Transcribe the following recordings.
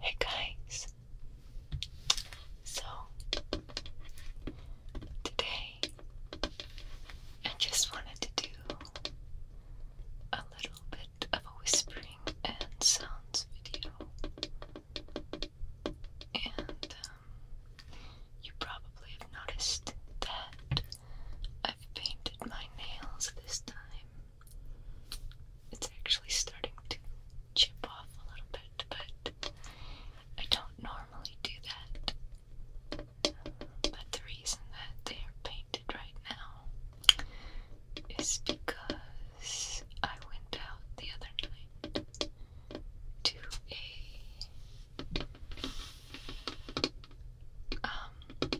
Hey guys, so today I just wanted to do a little bit of a whispering and sounds video, and um, you probably have noticed that I've painted my nails this time. It's actually starting to chip off a little bit, but I don't normally do that. But the reason that they are painted right now is because I went out the other night to a um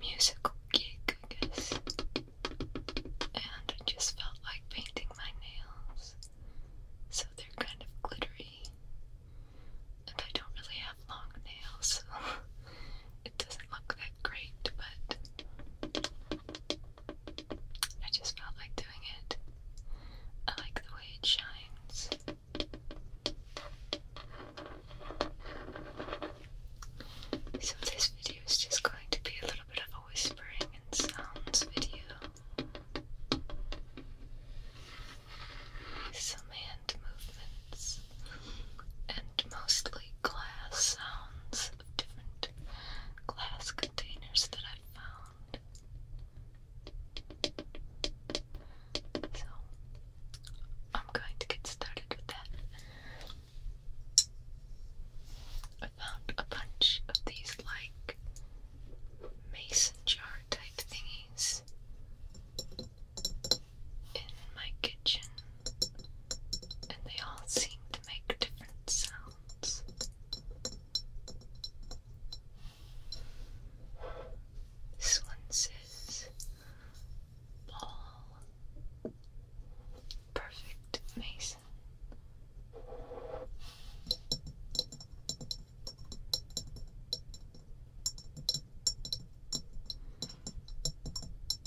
musical geek, I guess. And I just felt like painting my nails. So they're kind of glittery. And I don't really have long nails, so it doesn't look that great, but I just felt like doing it. I like the way it shines. So this video is just going to be a little bit of a whispering and sounds video. Some hand movements and mostly glass sounds of different glass containers that I've found. So I'm going to get started with that. I found a bunch of these like mason jar type thingies in my kitchen, and they all seem to make different sounds. This one says ball Perfect, Mason.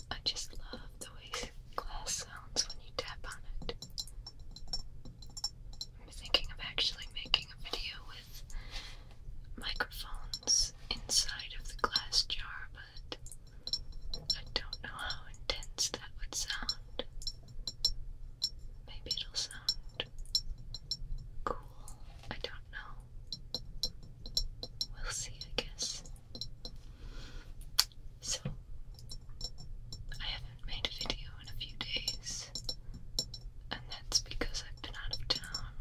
I just love the way glass sounds when you tap on it. I'm thinking of actually making a video with microphones inside of the glass jar, but I don't know how intense that would sound. Maybe it'll sound cool. I don't know. We'll see, I guess. So, I haven't made a video in a few days, and that's because I've been out of town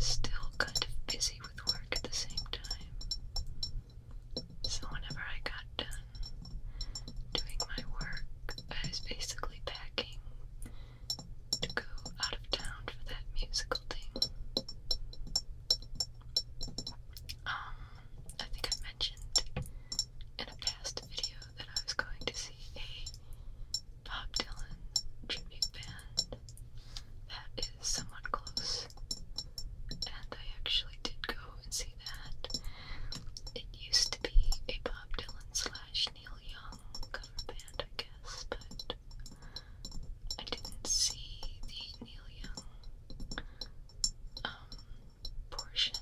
still kind of busy with work at the same time. So whenever I got done doing my work, I was basically packing to go out of town for that musical thing. Um, I think I mentioned in a past video that I was going to see a Bob Dylan tribute band. That is somewhat close. And I actually did go and see that. It used to be a Bob Dylan slash Neil Young cover band, I guess, but I didn't see the Neil Young um, portion.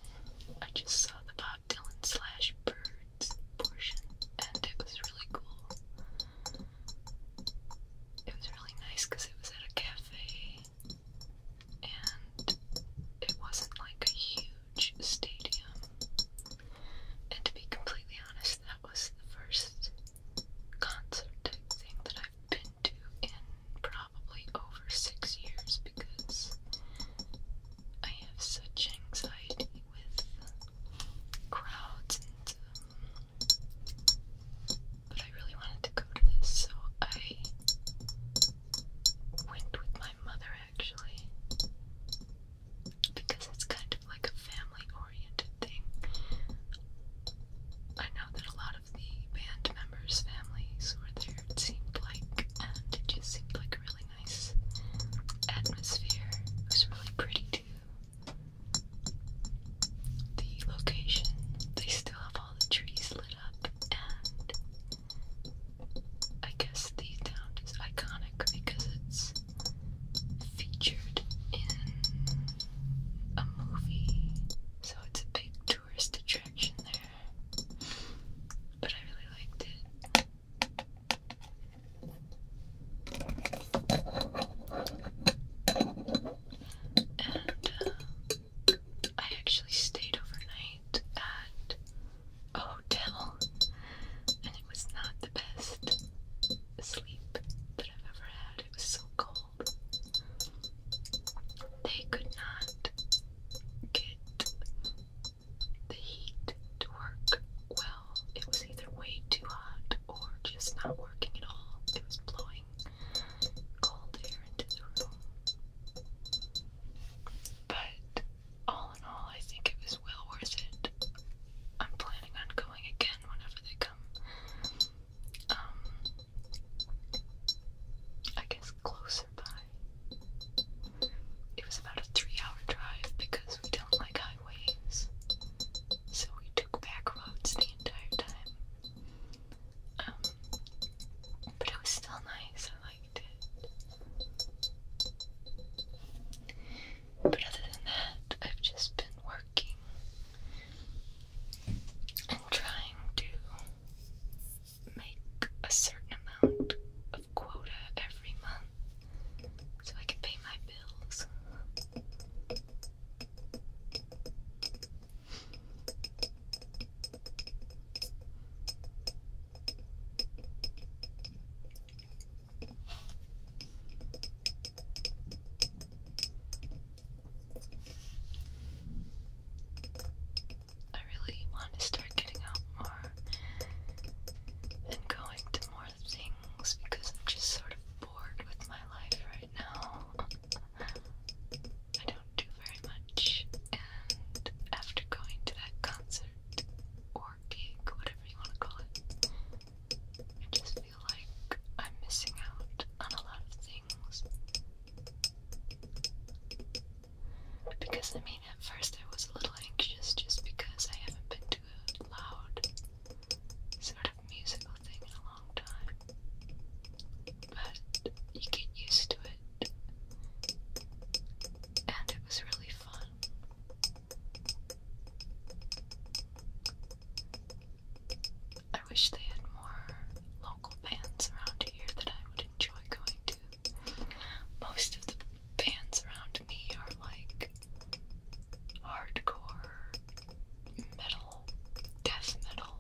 I just saw the Bob Dylan slash Bird thirds and it was really cool. It was really nice because it was at a cafe, and it wasn't like a huge stadium. And to be completely honest, that was the first concert type thing that I've been to in probably over six years because I have such anxiety with crowds and um, but I really wanted to go to this, so I went with my mother actually because it's kind of like a family oriented thing. I know that a lot of the band members' families were there, it seemed like, and it just seemed like a really nice atmosphere. It was really pretty too the location. They still have all the trees lit up, and I guess the town is iconic because it's featured in a movie, so it's a big tourist attraction there. But I really liked it. And uh, I actually stayed overnight at a hotel, and it was not the best sleep that I've ever had. It was so cold. They could not get the heat to work well. It was either way too hot or just not working at all. It was blowing cold air into the room. But all in all, I think it was well worth it. I'm planning on going again whenever they come. Um, I guess closer by. It was about a three hour drive because we don't like highways, so we took back roads the entire time. Um, but it was still nice, I liked it. But other than that, I've just been working and trying to make a certain amount of quota every month so I can pay my bills. I really want to start getting out more and going to more things because I'm just sort of bored with my life right now. I don't do very much, and after going to that concert or gig, whatever you want to call it, I just feel like I'm missing out on a lot of things. Because I mean, at first I was a little anxious just because I haven't been to loud sort of musical thing in a long time. But you get used to it. And it was really fun. I wish they had more local bands around here that I would enjoy going to. Most of the Bands around me are like hardcore metal, death metal,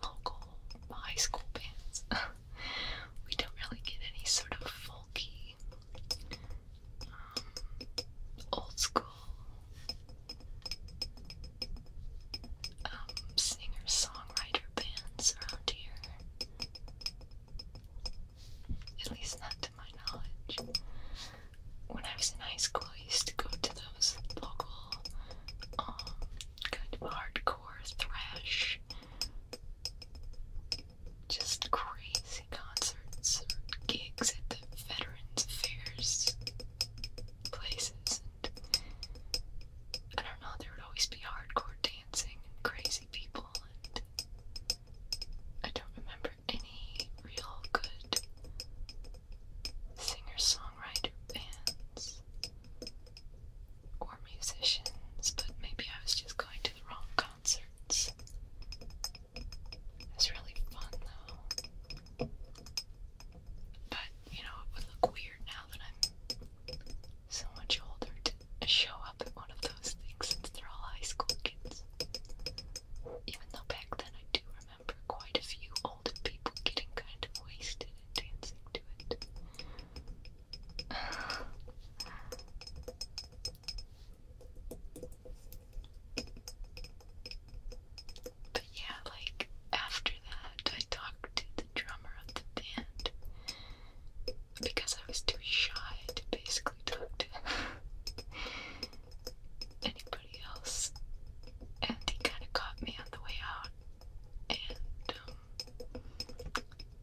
local high school bands. we don't really get any sort of folky, um, old school um, singer songwriter bands around here. At least not to my knowledge. When I was in high school, I used to go to those local, um, kind hardcore thrash, just crazy concerts or gigs at the Veterans Affairs places. And I don't know, there would always be hardcore dancing and crazy people, and I don't remember any real good singer-songwriter bands or musicians, but maybe I was just going to the wrong concerts. It's really fun though. But you know, it would look weird now that I'm so much older to show up at one of those things they're all high school kids. Even though back then I do remember quite a few older people getting kind of wasted and dancing to it. but yeah, like after that, I talked to the drummer of the band because I was too shy to basically talk to anybody else. And he kind of caught me on the way out. And um,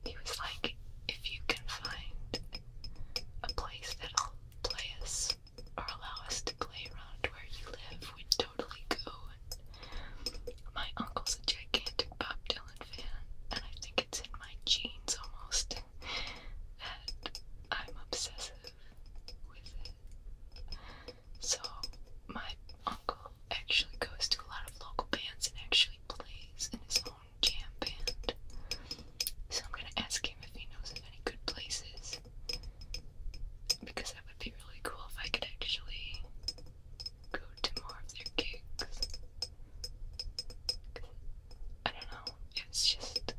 he was like, if you can find a place that'll play us or allow us to play around where you live, we'd totally go. my uncle's a gigantic Bob Dylan fan, and I think it's in my genes almost and I'm obsessive with it. So, my uncle actually goes to a lot of local bands and actually plays in his own jam band. So, I'm gonna ask him if he knows of any good places because that would be really cool if I could actually go to more of their gigs. I don't know. It's just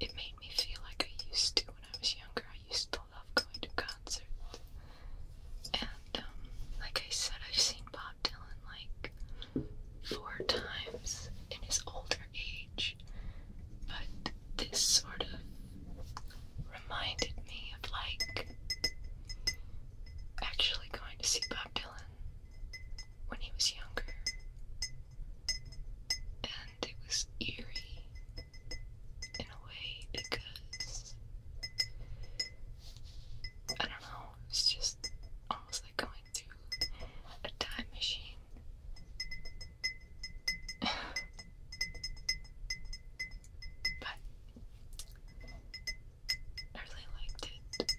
it made me feel like I used to when I was younger. I used to love going to concerts. And um, like I said, I've seen Bob Dylan like four times in his older age. But this sort of reminded me of like actually going to see Bob Dylan when he was younger. And it was eerie in a way because I don't know, it was just almost like going through a time machine. but I really liked it.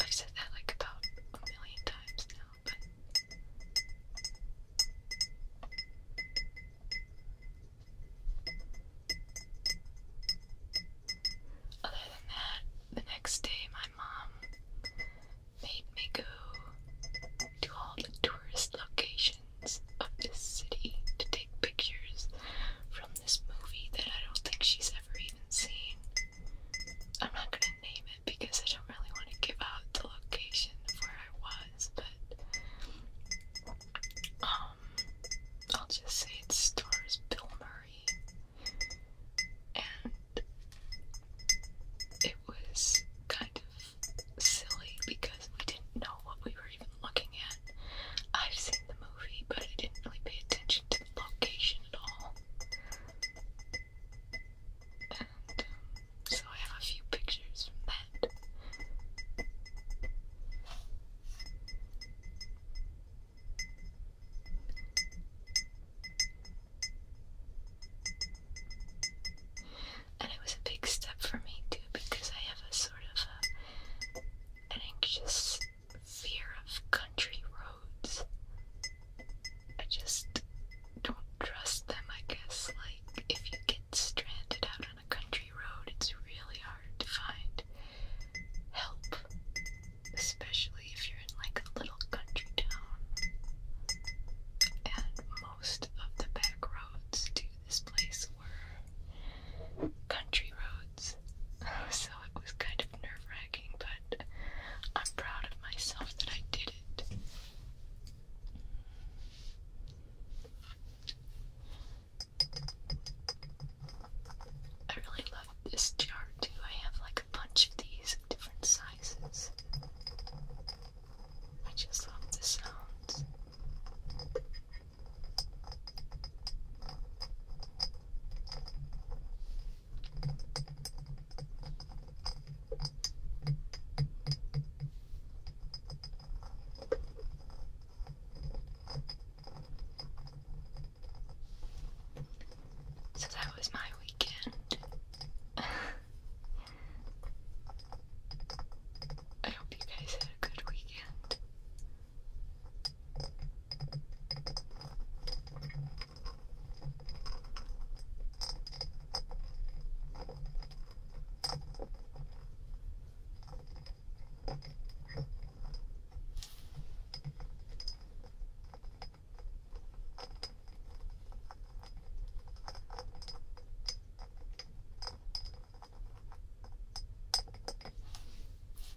I've said that like about a million times now, but other than that, the next day my mom made me go to all the tourist locations of this city to take pictures from this movie that I don't think she's ever even seen. I'm not gonna name it because I don't really want to give out the location of where I was, but um, I'll just say it stars Bill Murray, and it was kind of silly because we didn't know what we were even looking at. I've seen the movie, but I didn't really pay attention to location at all. And um, so I have a few pictures from that. And it was a big step for me too because I have a sort of a, an anxious fear of country roads. I just don't trust them, I guess. Like, if you get stranded out on a country road, it's really hard to find help, especially if you're in like a little country town. And most of the back roads to this place were country roads notes. So it was kind of nerve wracking, but I'm proud of myself that I did it. I really love this jar too. I have like a bunch of these different sizes. I just love the sounds. So that was my weekend. I hope you guys had a good weekend.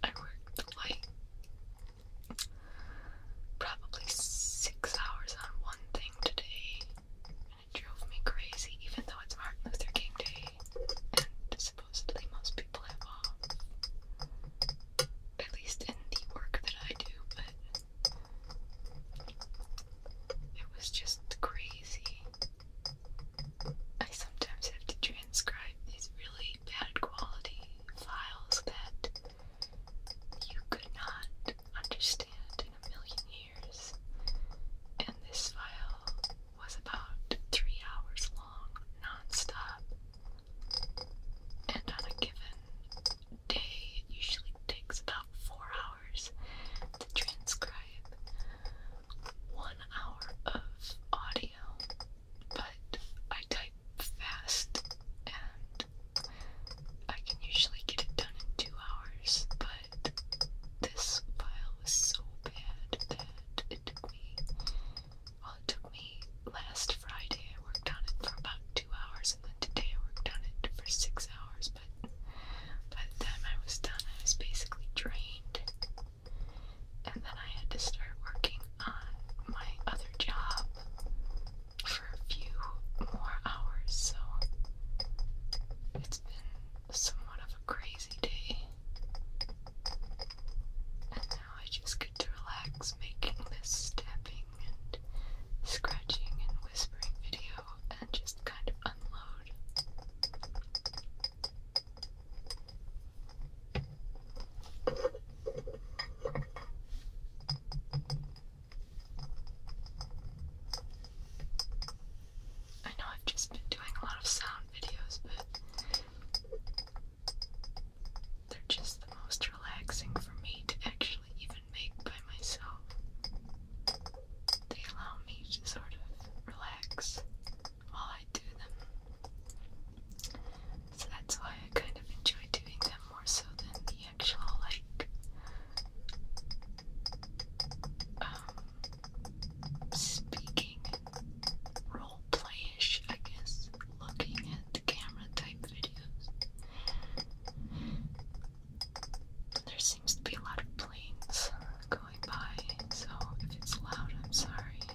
I work the light probably six hours on one thing today, and it drove me crazy, even though it's Martin Luther King Day, and supposedly most people have off. At least in the work that I do, but it was just crazy. I sometimes have to transcribe these really bad quality files that you could not understand in a million years. And this file was about three hours long, non-stop. And on a given day, it usually takes about four hours to transcribe one hour of audio but I type fast and I can usually get it done in two hours, but this file was so bad that it took me, well, it took me last Friday, I worked on it for about two hours, and then today I worked on it for six hours, but by the time I was done, I was basically drained and then I had to start working on my other job for a few more hours, so it's been somewhat of a crazy day. And now I just get to relax making this tapping and scratching and whispering video and just kind of unload. I know I've just been doing a lot of sound videos, but they're just the most relaxing for me to actually even make by myself. They allow me to sort of relax while I do them. So that's why I kind of enjoy doing them more so than the actual like um, speaking role playish, I guess, looking at the camera type videos. There seems to be a lot of planes going by, so if it's loud, I'm sorry.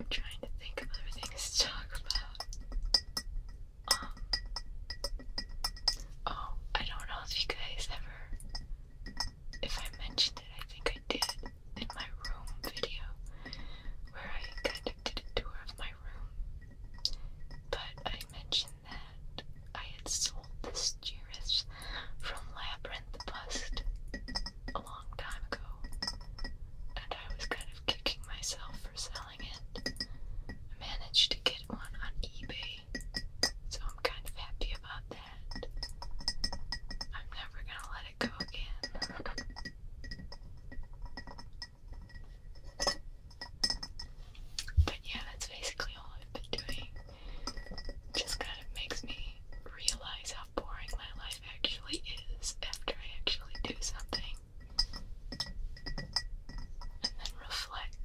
I'm trying to think of other to talk about. Um, oh, I don't know if you guys ever, if I mentioned it, I think I did in my room video, where I kind of did a tour of my room, but I mentioned that I had sold this Juris from Labyrinth Bust a long time ago, and I was kind of kicking myself for selling it. I managed to get one on eBay, so I'm kind of happy about that. I'm never gonna let it go again. But yeah, that's basically all I've been doing. Just kind of makes me realize how boring my life actually is after I actually do something. And then reflect.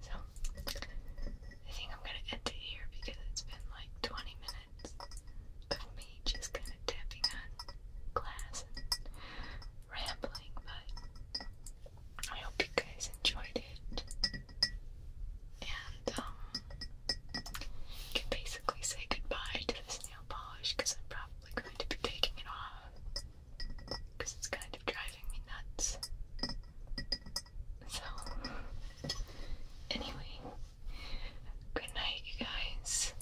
So, I think I'm gonna end it here because it's been like 20 minutes of me just kind of tapping on glass and rambling but I hope you guys enjoyed it. And um, can basically say goodbye to this nail polish because I'm probably going to be taking it off because it's kind of driving me nuts. So, anyway, good night, you guys.